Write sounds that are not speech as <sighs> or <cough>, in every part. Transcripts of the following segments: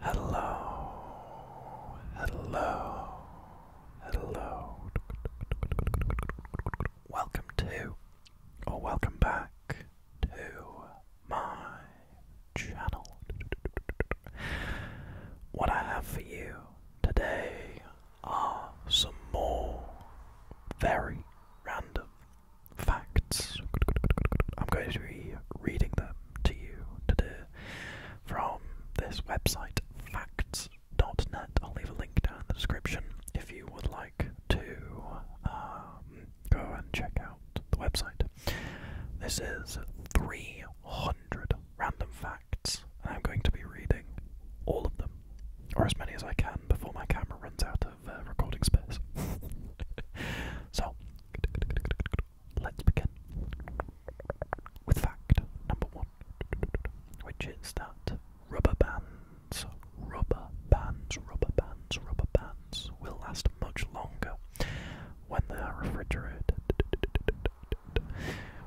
Hello, hello, hello. Welcome to, or welcome back to my channel. What I have for you today are some more very random facts. I'm going to be reading them to you today from this website, facts.net. I'll leave a link down in the description if you would like to um, go and check out the website. This is 300 random facts, and I'm going to be reading all of them, or as many as I can, before my camera runs out uh, recording space. <laughs> so, let's begin with fact number one, which is that rubber bands, rubber bands, rubber bands, rubber bands will last much longer when they are refrigerated.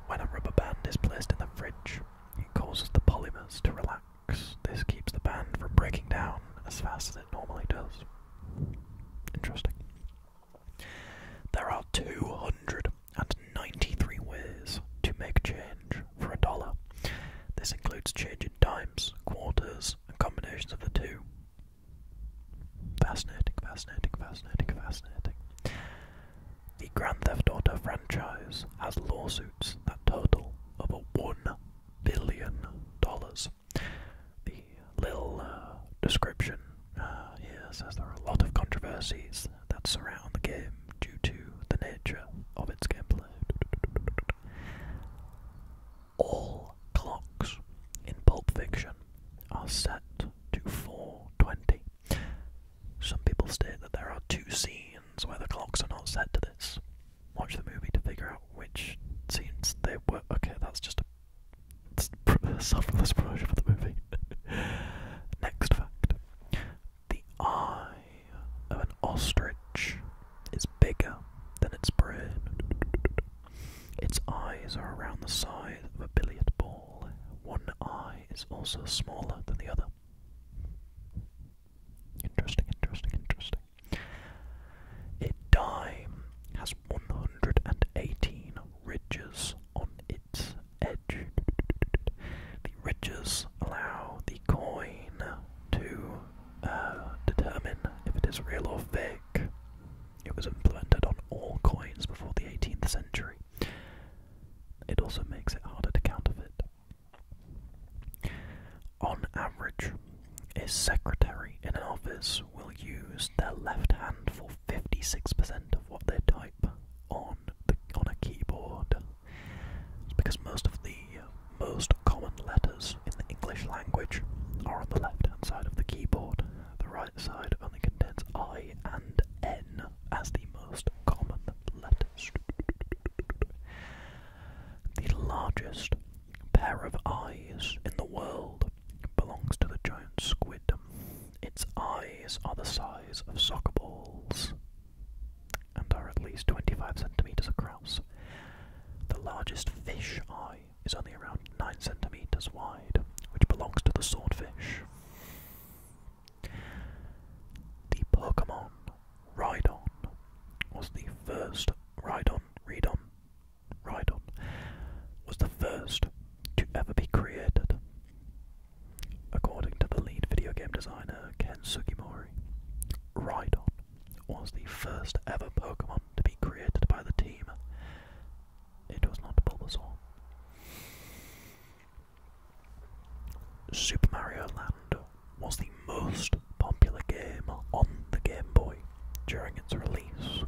When a rubber band is placed in the fridge, it causes the polymers to relax. This keeps the band from breaking down as fast as it normally does. Interesting. There are 293 ways to make change for a dollar. This includes change in dimes, quarters, and combinations of the two. Fascinating, fascinating, fascinating, fascinating. The Grand Theft Auto franchise has lawsuits that total over $1 billion. The little uh, description uh, here says there are a lot of controversies that surround the game due to the nature of its gameplay. All clocks in Pulp Fiction are set to 420. Some people state that there are two scenes where the clocks are not set to this watch the movie to figure out which scenes they were. Okay, that's just a <laughs> self-less version the movie. <laughs> Next fact: the eye of an ostrich is bigger than its brain. Its eyes are around the size of a billiard ball. One eye is also smaller than the other. Interesting, interesting, interesting. A dime has 118 ridges on its edge. The ridges allow the coin to uh, determine if it is real or fake. It was implemented on all coins before the 18th century. It also makes it harder to counterfeit. On average, a secretary in an office will use their left hand for 56% of what they type on the on a keyboard. because most of the most common letters in the English language are on the left-hand side of the keyboard. The right side only contains I and N as the most common letters. The largest pair of eyes in the world belongs to the giant squid. Its eyes are the size of soccer balls and are at least 25 centimeters across. The largest fish eye is only around 9 centimeters wide, which belongs to the swordfish. The Pokemon Rhydon was the first Rhydon, Rhydon was the first to ever be created. According to the lead video game designer Ken Sugimori, Rhydon was the first ever Pokemon to be created by the team. It was not Bulbasaur. Super Mario Land was the most popular game on the Game Boy during its release.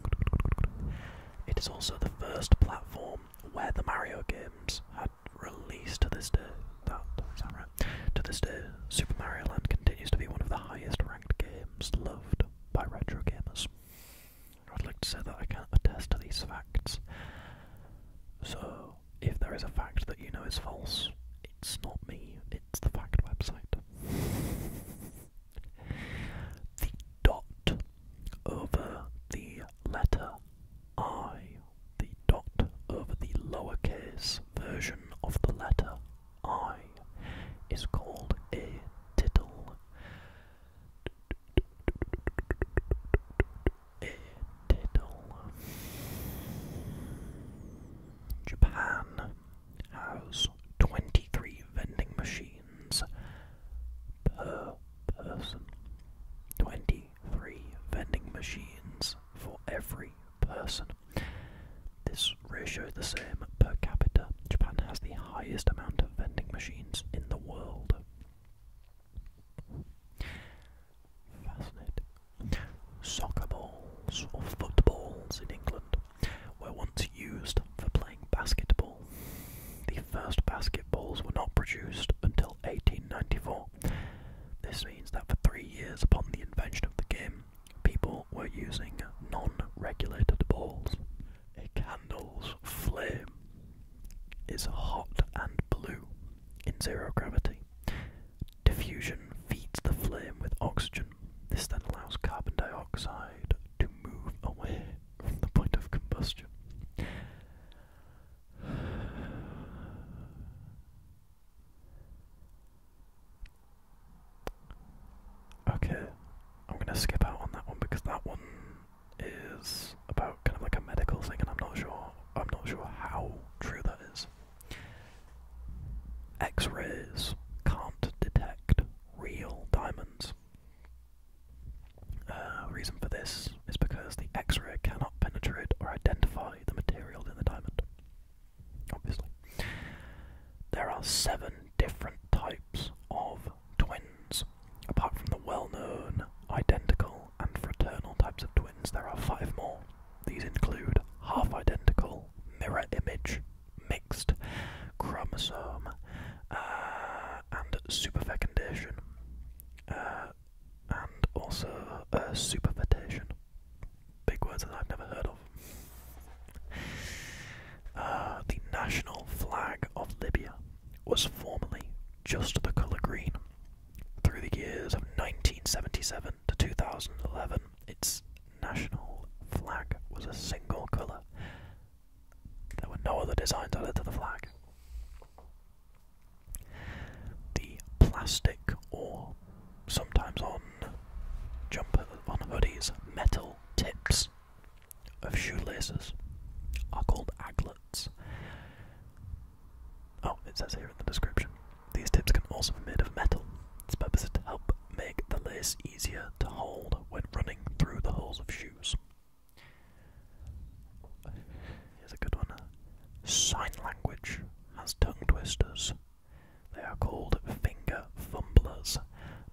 It is also the first platform where the Mario games had released to this day. That right? To this day, Super Mario Land continues to be one of the highest ranked games loved by retro gamers. I'd like to say that I can attest to these facts. So, if there is a fact that you know is false, it's not me, it's the fact website the dot over the letter I, the dot over the lowercase version of the letter I, is called a tittle. A tittle. Japan has 23 vending machines per person. 23 vending machines for every person. This ratio is the same per capita. Japan has the highest amount of vending machines in the world. Fascinating. Soccer balls or footballs in England were once used for playing basketball. The first basketballs were not produced until 1894. This means that for three years upon the invention of the game, people were using non-regulated balls. A candle's flame is hot and blue in zero gravity. Diffusion feeds the flame with oxygen this then allows carbon dioxide to move away from the point of combustion. Okay, I'm gonna skip out on that one because that one is about kind of like a medical thing, and I'm not sure. I'm not sure how true that is. X-rays can't detect real diamonds. Uh, reason for this is because the X-ray cannot penetrate or identify the material in the diamond. Obviously, there are seven different types of twins. Apart from the well-known identical and fraternal types of twins, there are five more. These include half-identical, mirror image, chromosome uh, and superfecundation, uh, and also uh, Big words that I've never heard of. Uh, the national flag of Libya was formerly just the colour green. Through the years of 1977 to 2011, its national flag was a single colour. There were no other designs added to the flag. The plastic or sometimes on jumper on hoodies metal tips of shoelaces are called aglets. Oh, it says here in the description. These tips can also be made of metal. Its purpose is to help make the lace easier to hold when running through the holes of shoes. Here's a good one. Sign language has tongue twisters. They are called finger fumblers.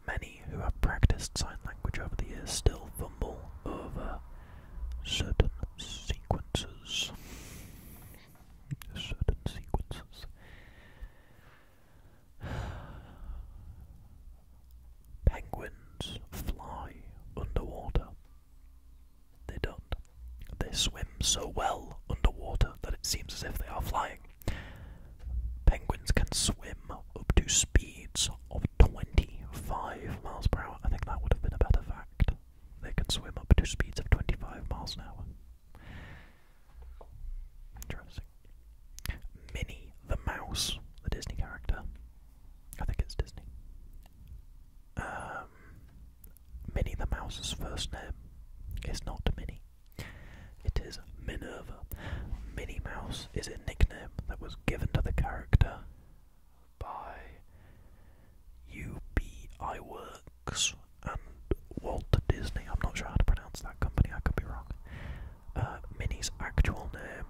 Many who have practiced sign language over the years still fumble over certain sequences. Certain sequences. <sighs> Penguins fly underwater. They don't. They swim so well underwater that it seems as if they are flying. Penguins can swim up to speeds of 25 miles per hour. I think that would have been a better fact. They can swim up to speeds of 25 miles an hour. Interesting. Minnie the Mouse, the Disney character. I think it's Disney. Um, Minnie the Mouse's first name is not Minnie. It is Minerva. Minnie Mouse is a nickname that was given to the character by UBI and Walt Disney. I'm not sure how to pronounce that company, I could be wrong. Uh, Minnie's actual name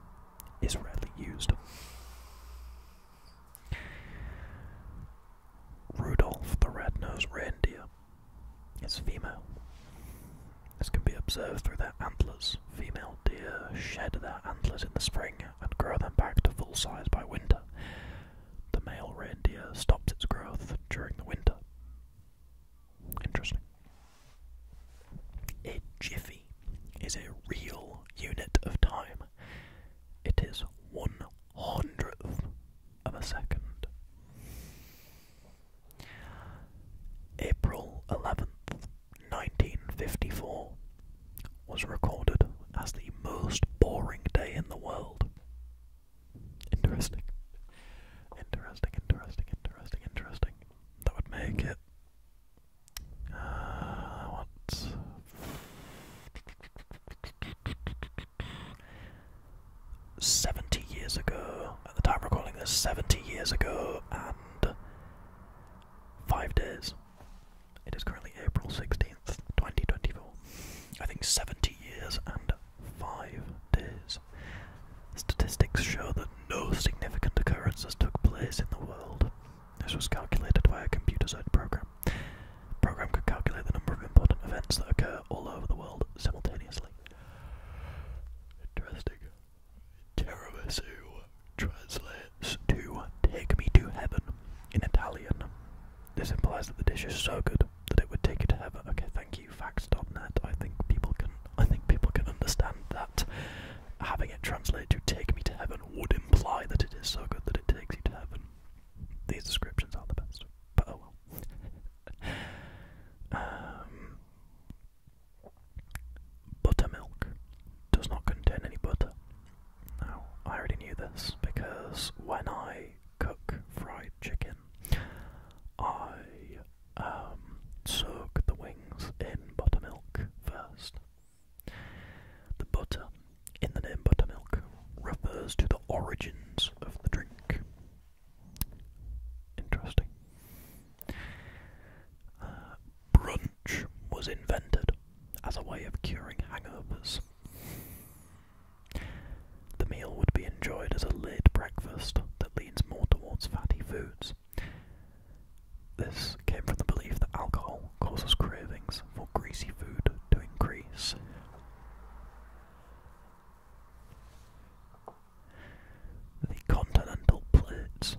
is rarely used. Rudolph the Red-Nosed Reindeer is female. This can be observed through their antlers. Female deer shed their antlers in the spring and grow them back to full size by winter. The male reindeer stops its growth during the winter. Interesting. A jiffy is a real unit of time. It is one hundredth of a second. April 11th, 1954 was recorded as the most boring day in the world. Interesting. Interesting, interesting, interesting, interesting. That would make it. Uh, Seventy years ago, at the time recording this, seventy years ago and five days. It is currently April sixteenth, twenty twenty four. I think seventy years and five days Statistics show that no significant occurrences took place in the world. This was calculated by a computerized program. The program could calculate the number of important events that occur all over the world simultaneously. Interesting. Tiramisu translates to take me to heaven in Italian. This implies that the dish is so good that it would take you to heaven. Okay, thank you, facts.net. I think people can I think people can understand that having it translated to take me to heaven would imply that it is so good that it takes you to heaven. These descriptions are the best. But oh well. <laughs> um, buttermilk does not contain any butter. Now, I already knew this because when I cook fried chicken, I um, soak the wings in buttermilk first. The butter in the name buttermilk refers to the origins of the drink. Interesting. Uh, brunch was invented as a way of curing hangovers. The meal would be enjoyed as a late breakfast that leans more towards fatty foods. This came from the belief that alcohol causes cravings for greasy food to increase. The continental plates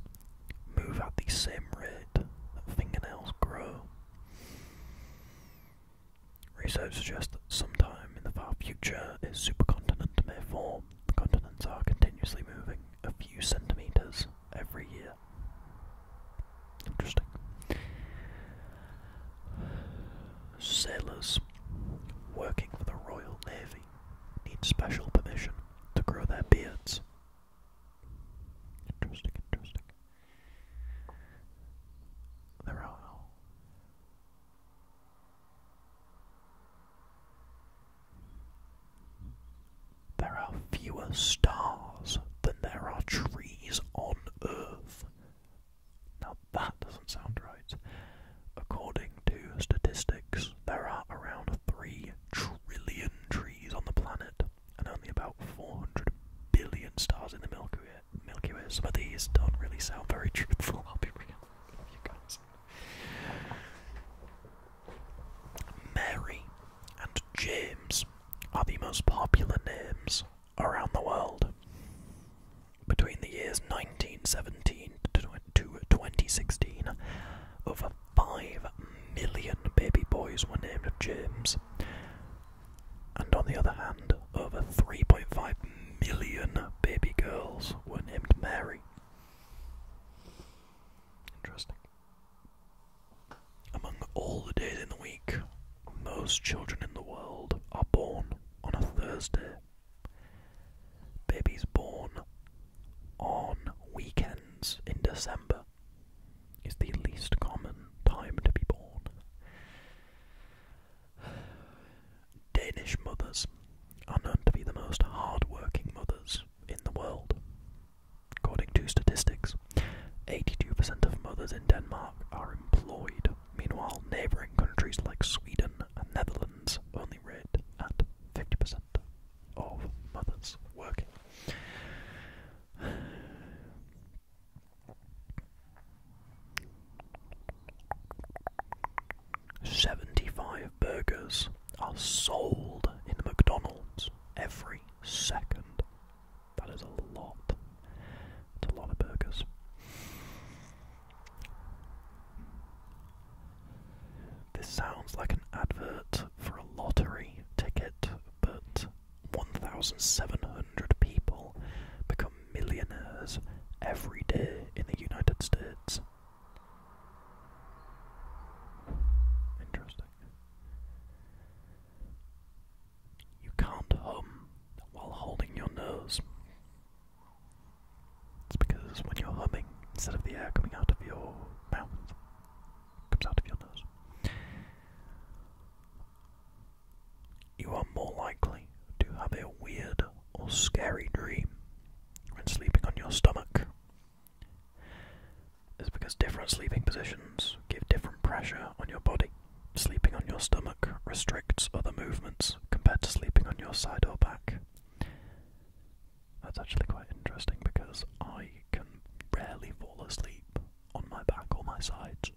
move at the same rate that fingernails grow. Research suggests that sometime in the far future, uh, is supercontinent may form. The continents are continuously moving a few centimetres every year. Interesting. Sailors working for the Royal Navy need special permission to grow their beards. Interesting, interesting. There are there are fewer stars than there are trees on Earth. Now that doesn't sound right. According to statistics, there are around 3 trillion trees on the planet and only about 400 billion stars in the Milky Way. But these don't really sound very truthful, I'll be real with you guys. Mary and James are the most popular names around the world. Between the years 1917 to 2016, over 5 million baby boys were named James. And on the other hand, over 3.5 million baby girls were named Mary. Interesting. Among all the days in the week, most children in the world are born on a Thursday. Babies born on weekends in December is the least common time to be born. Danish mothers are known to be the most hard-working mothers in the world. According to statistics, 82% of mothers in Denmark are employed. Meanwhile, neighbouring countries like Sweden and Netherlands only rate at 50% of mothers working. 75 burgers are sold in McDonald's every second. That is a lot. It's a lot of burgers. This sounds like an advert for a lottery ticket, but 1,700 people become millionaires every day in the United States. Interesting. You can't hum while holding your nose. It's because when you're humming, instead of the air coming out of your mouth, it comes out of your nose. You are more likely to have a weird or scary dream when sleeping on your stomach is because different sleeping positions give different pressure on your body. Sleeping on your stomach restricts other movements compared to sleeping on your side or back. That's actually quite interesting because I can rarely fall asleep on my back or my sides.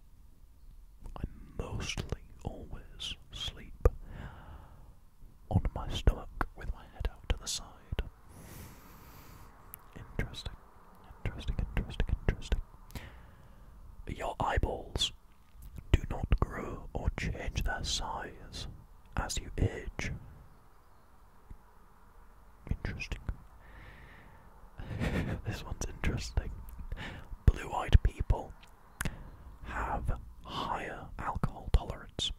I mostly always sleep on my stomach with my head out to the side. Interesting, interesting, interesting, interesting. Your eyeballs do not grow or change their size as you age. Interesting. <laughs> this one's interesting. Blue eyed people have higher alcohol tolerance.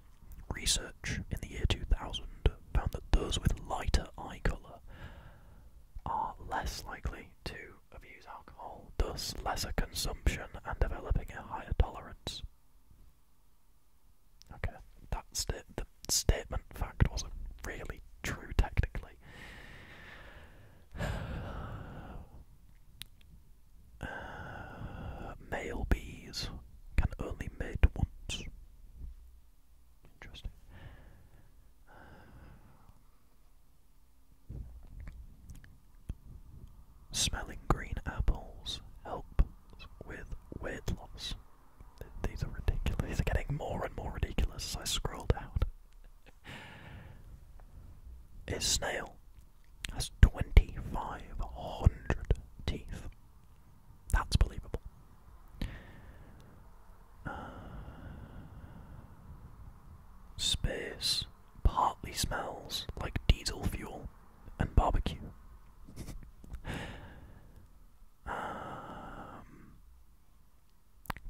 Research in the year 2000 found that those with lighter eye colour are less likely to abuse alcohol, thus lesser consumption and developing a higher tolerance. Okay, that sta the statement fact wasn't really true technically. Uh, male bees can only mate once. Interesting. smelling green apples help with weight loss. These are ridiculous. These are getting more and more ridiculous as I scroll down. Is <laughs> snail has 2,500 teeth. That's believable. Uh, space partly smells like diesel fuel and barbecue. <laughs> Um,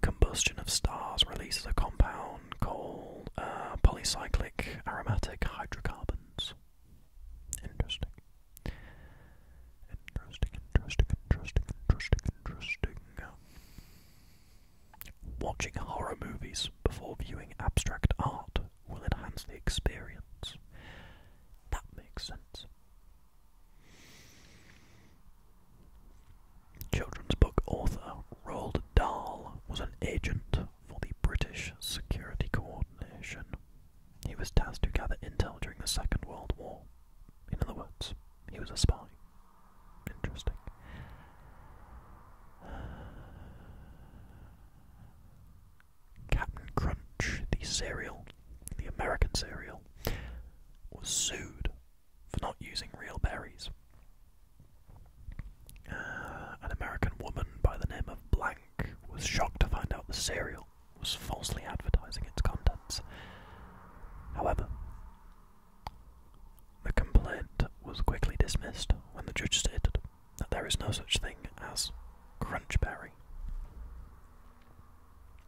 combustion of stars releases a compound called uh, polycyclic aromatic hydrocarbons. Interesting. Interesting, interesting, interesting, interesting, interesting. Watching horror movies before viewing abstract art will enhance the experience. That makes sense. Children's book author Roald Dahl was an agent for the British Security Coordination. He was tasked to gather intel during the Second World War. In other words, he was a spy. Interesting. Captain Crunch, the cereal, the American cereal, was sued for not using real berries. Uh, an American woman by the name of Blank was shocked to find out the cereal was falsely advertising its contents. However, the complaint was quickly dismissed when the judge stated that there is no such thing as Crunchberry.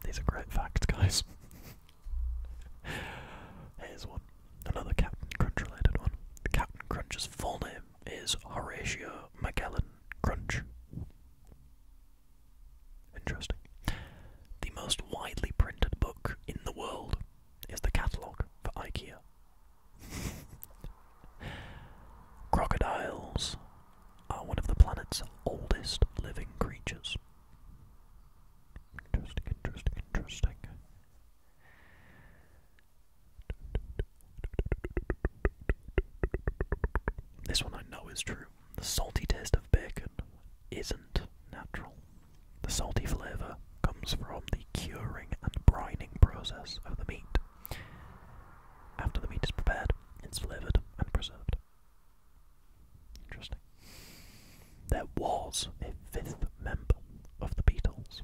These are great facts, guys. <laughs> Here's one. Another Captain Crunch related one. The Captain Crunch's full name is Horatio Magellan Crunch. Interesting. The most widely printed book in the world is the catalogue for IKEA. <laughs> Crocodiles are one of the planet's oldest living creatures. Interesting, interesting, interesting. This one I know is true. The salty taste of bacon isn't natural. The salty flavour comes from the curing and brining process of the meat. After the meat is prepared, it's flavoured and preserved. Interesting. There was a fifth member of the Beatles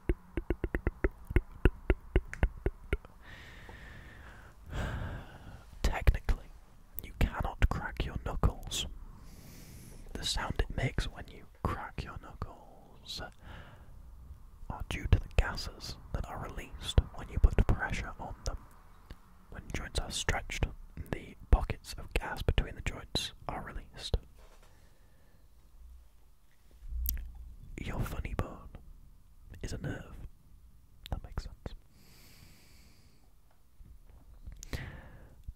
<sighs> Technically, you cannot crack your knuckles. The sound it makes when you crack your knuckles are due to the gases that are released when you put pressure on them. When joints are stretched, the pockets of gas between the joints are released. Your funny bone is a nerve. That makes sense.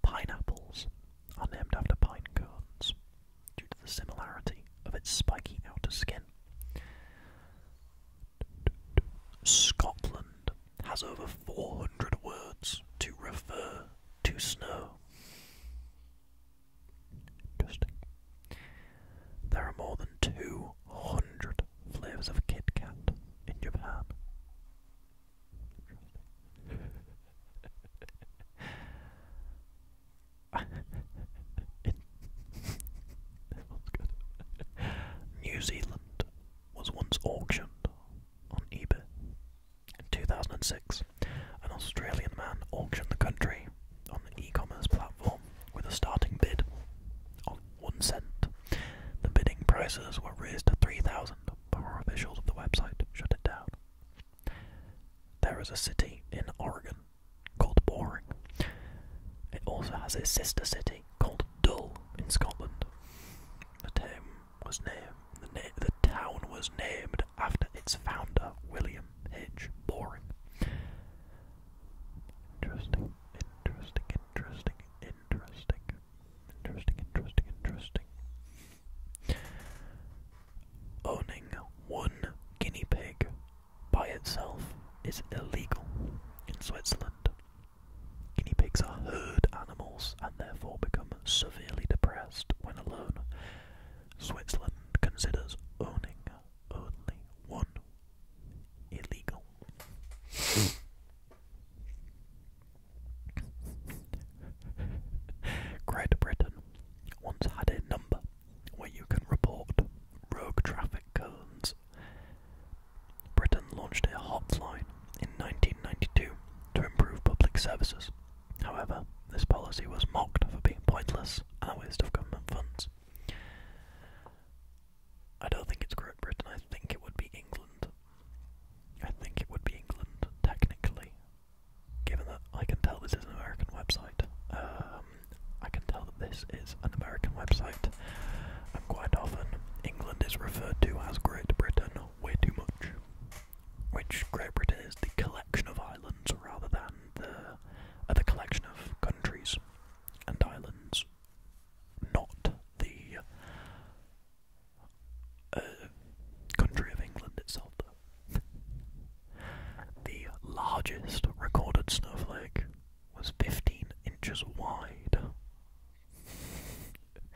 Pineapples are named after pine cones due to the similarity of its spiky outer skin. Scotland has over 400 words to refer to snow. Interesting. There are more than 200 flavours of Kit Kat in Japan. <laughs> New Zealand was once auctioned on eBay in 2006 an Australian man auctioned the country on an e-commerce platform with a starting bid of one cent. The bidding prices were raised to 3,000 before officials of the website shut it down. There is a city in Oregon called Boring. It also has a sister city called Dull in Scotland. the town was named after its founder, William H. Boring. Interesting, interesting, interesting, interesting, interesting, interesting, interesting. Owning one guinea pig by itself is illegal in Switzerland. Guinea pigs are herd animals and therefore become severely depressed when alone. Switzerland considers owning only one illegal. Great Britain once had a number where you can report rogue traffic cones. Britain launched a hotline in 1992 to improve public services However, this policy was mocked for being pointless and a waste of government funds. I don't think it's Great Britain, I think it would be England. I think it would be England, technically. Given that I can tell this is an American website. Um, I can tell that this is an American website. And quite often, England is referred to as Great Britain way too much. Which Great Britain is the collection of islands rather than the collection of countries and islands, not the uh, country of England itself. <laughs> the largest recorded snowflake was 15 inches wide. <laughs>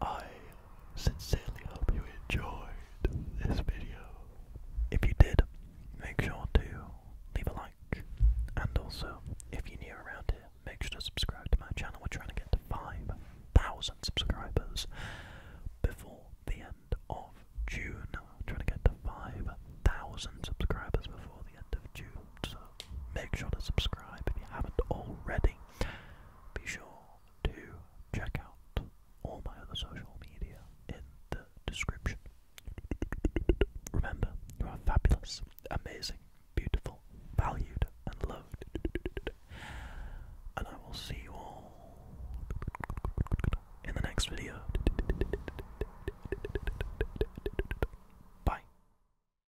I sincerely hope you enjoyed this video. If you did, make sure to leave a like. And also, if you're new around here, make sure to subscribe to my channel. We're trying to get to 5,000 subscribers before the end of June. trying to get to 5,000 subscribers before the end of June make sure to subscribe if you haven't already. Be sure to check out all my other social media in the description. Remember, you are fabulous, amazing, beautiful, valued, and loved. And I will see you all in the next video. Bye.